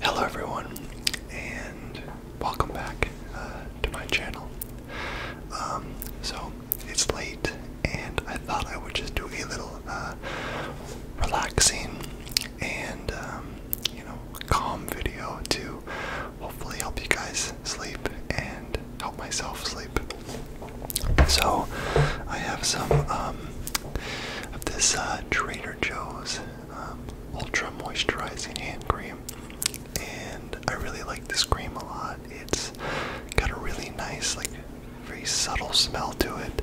Hello, everyone, and welcome back uh, to my channel. Um, so it's late, and I thought I would just do a little uh, relaxing and um, you know calm video to hopefully help you guys sleep and help myself sleep. So I have some um, of this uh, Trader Joe's um, Ultra Moisturizing Hand Cream, and I really like this cream a lot. It's got a really nice, like, very subtle smell to it,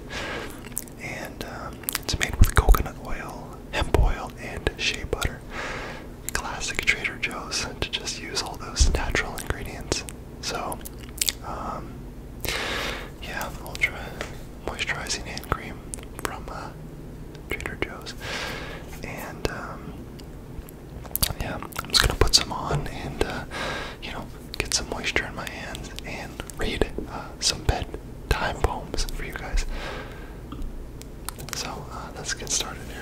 and um, it's made with coconut oil, hemp oil, and shea butter classic Trader Joe's to just use all those natural ingredients. So, um, yeah, ultra moisturizing hand cream from uh, Trader Joe's, and um, yeah, I'm just gonna put some on and uh, you know get some moisture in my hands and read uh, some some time poems for you guys. So uh, let's get started here.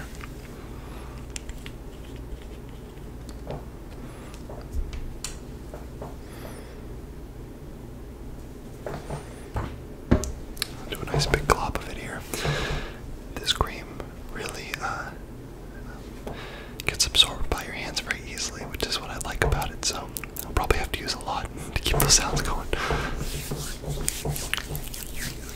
do a nice big glob of it here. This cream really uh, gets absorbed by your hands very easily, which is what I like about it. So I'll probably have to use a lot to keep those sounds going.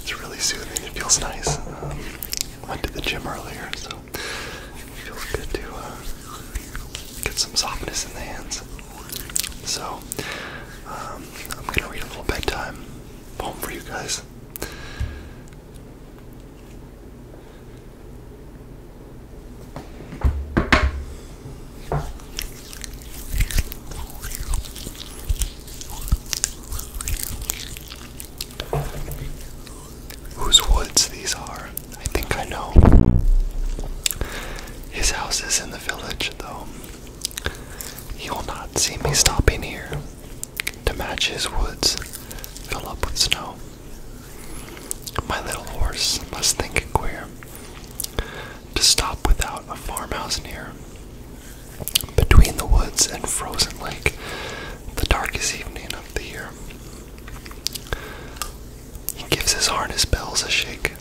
It's really soothing. It feels nice. Um, went to the gym earlier, so it feels good to uh, get some softness in the hands. So um, I'm gonna read a little bedtime home for you guys. Whose woods these are, I think I know. His house is in the village, though. He will not see me stopping here to match his woods, fill up with snow. My little horse must think it queer to stop without a farmhouse near. Between the woods and frozen lake, the darkest evening of the year. He gives his harness bells a shake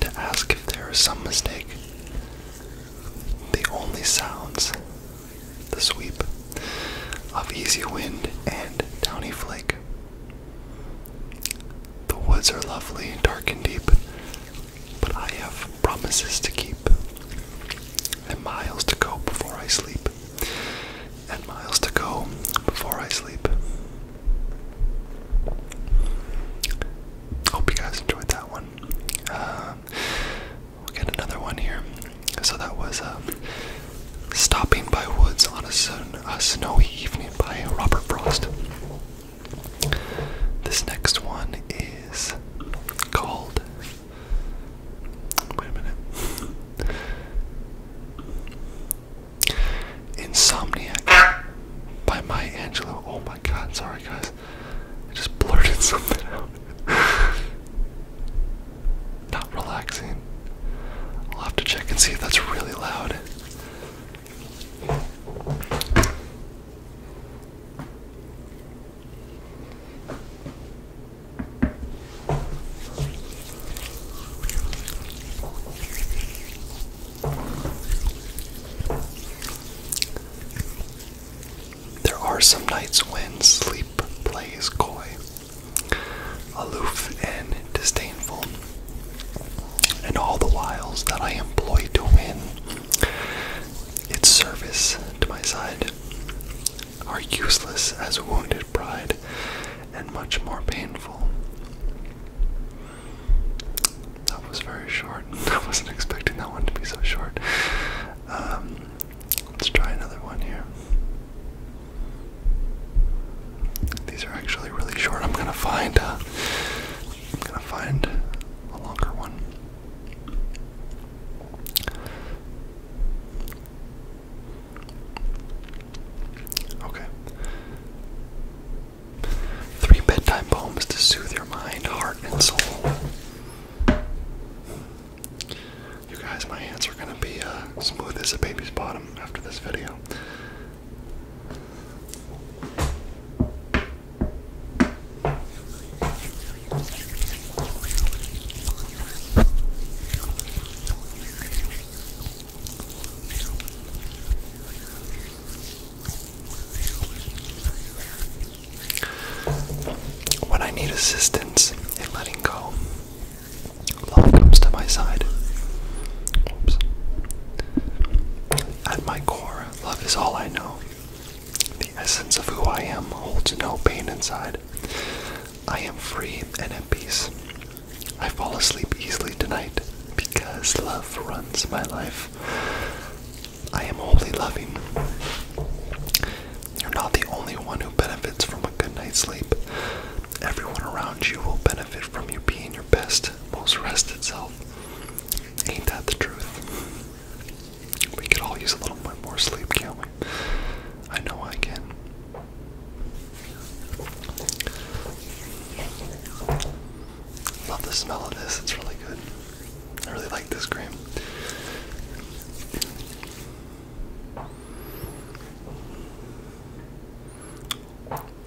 to ask if there is some mistake. The only sounds the sweep of easy wind and downy flake. The woods are lovely, dark and deep, but I have promises to keep, and miles to go before I sleep, and miles to go before I sleep. Hope you guys enjoyed that one. Uh, we'll get another one here. So that was uh, Stopping by Woods on a, a Snowy Evening by Robert Frost. This next one is called. Wait a minute. Insomniac by Maya Angelou. Oh my god, sorry guys. I just blurted something out. Not relaxing. I'll have to check and see if that's really loud. There are some nights when sleep plays coy, aloof and disdainful, and all the wiles that I employ to win its service to my side are useless as wounded pride and much more painful. That was very short. I wasn't expecting that one to be so short. Um, let's try another one here. These are actually really short. I'm gonna find. Uh, I'm gonna find a longer one. Okay. Three bedtime poems to soothe your mind, heart, and soul. You guys, my hands are gonna be uh, smooth as a baby's bottom after this video. When I need assistance in letting go, love comes to my side. At my core, love is all I know. The essence of who I am holds no pain inside. I am free and at peace. I fall asleep easily tonight because love runs my life. I am wholly loving. You're not the only one who benefits from a good night's sleep. Everyone around you will benefit from you being your best, most rested self. Ain't that the truth? We could all use a little bit more sleep, can't we? I know I can. Love the smell of this, it's really good. I really like this cream.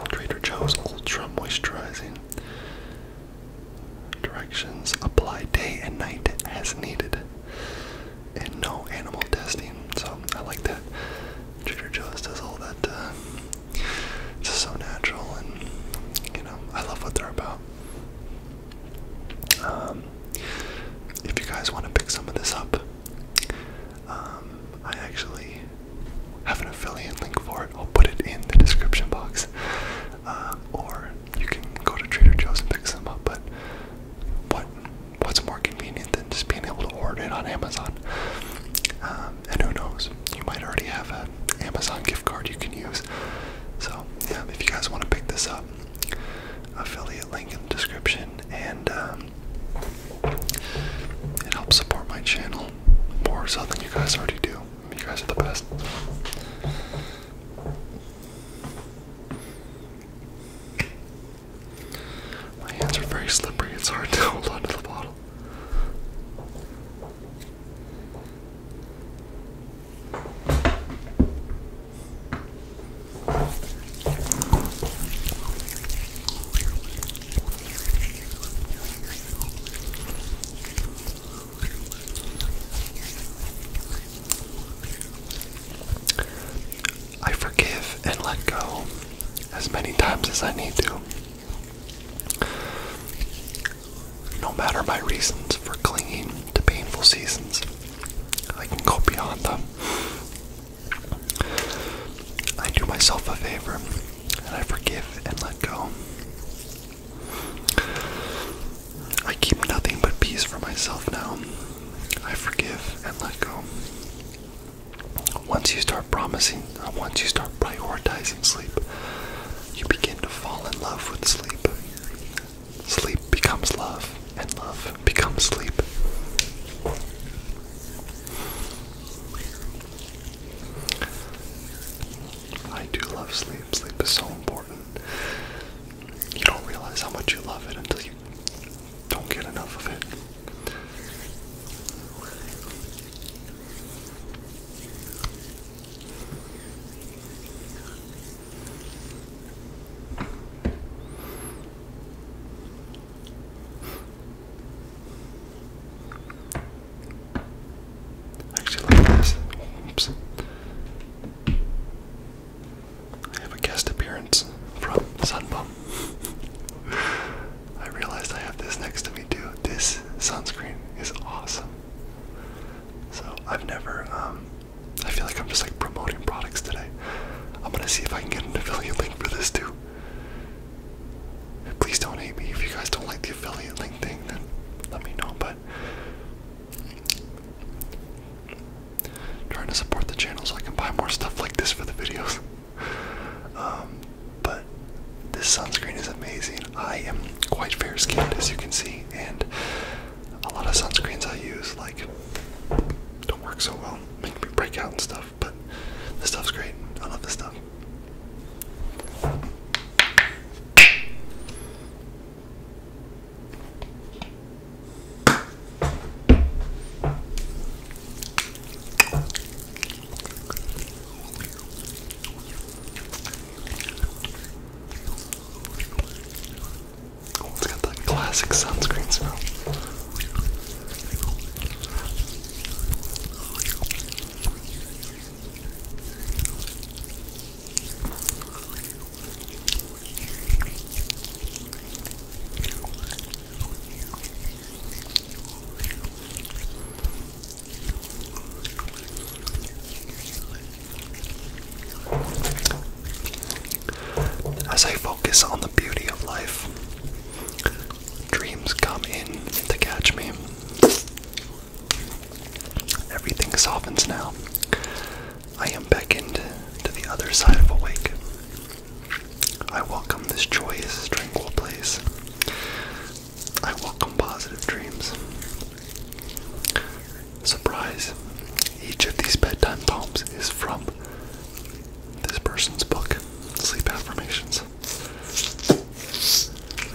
Trader Joe's Ultra Moisturizing. Directions apply day and night as needed and no animal testing. So I like that Trader Joe's does all that. Uh, it's just so natural, and you know I love what they're about. Um, if you guys want to pick some of this up, um, I actually have an affiliate link for it. I'll put it in the description box, uh, or you can go to Trader Joe's and pick some up. But what what's more convenient than just being able to order it on Amazon? Um, and who knows, you might already have an Amazon gift card you can use. So, yeah, if you guys want to pick this up, affiliate link in the description, and um, it helps support my channel more so than you guys already do. You guys are the best. My hands are very slippery, it's hard to hold onto the bottle. I forgive and let go as many times as I need to. No matter my reasons for clinging to painful seasons, I can go beyond them. I do myself a favor and I forgive and let go. I keep nothing but peace for myself now. I forgive and let go. Once you start promising, uh, once you start prioritizing sleep, you begin to fall in love with sleep. Sleep becomes love, and love becomes sleep. I do love sleep. Sleep is so important you don't realize how much you love it until you don't get enough of it. Actually, like this. Oops. I have a guest appearance from Sunbum. I realized I have this next to me too. This sunscreen is awesome. So I've never. Um, I feel like I'm just like promoting products today. I'm gonna see if I can get an affiliate link for this too. Please don't hate me if you guys don't like the affiliate link thing. Then let me know. But Trying to support the channel so I can buy more stuff like this for the videos. Um, but this sunscreen is amazing. I am quite fair skinned, as you can see, and a lot of sunscreens I use like don't work so well, make me break out and stuff. But this stuff's great. I love this stuff. Oh, it's got that classic sunscreen smell. As I focus on the beauty of life, dreams come in to catch me. Everything softens now. I am beckoned to the other side of awake. I welcome this joyous, tranquil place. I welcome positive dreams. Surprise! Each of these bedtime poems is from this person's book, Sleep Affirmations.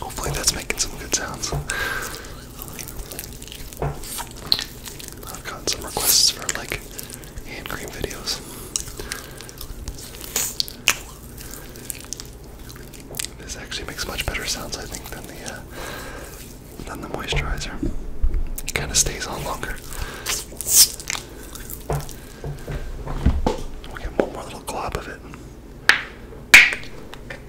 Hopefully that's making some good sounds. I've gotten some requests for like hand cream videos. This actually makes much better sounds, I think, than the uh, than the moisturizer. It kind of stays on longer. we get one more little glob of it.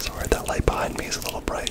Sorry, that light behind me is a little bright.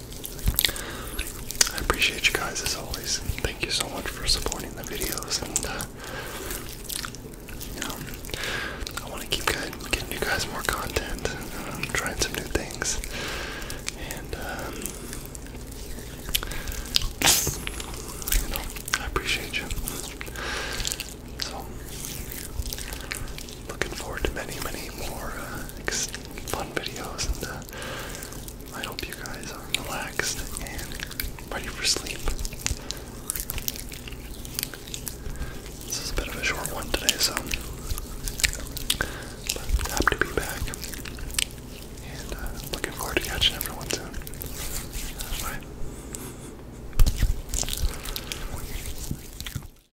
I appreciate you guys as always. Thank you so much for supporting the videos, and uh, you know, I want to keep getting you guys more content, um, trying some new things, and um, you know, I appreciate you. So, looking forward to many, many more uh, fun videos, and uh, I hope you guys are relaxed and ready for sleep. This is a bit of a short one today, so but happy to be back, and uh, looking forward to catching everyone soon. Bye.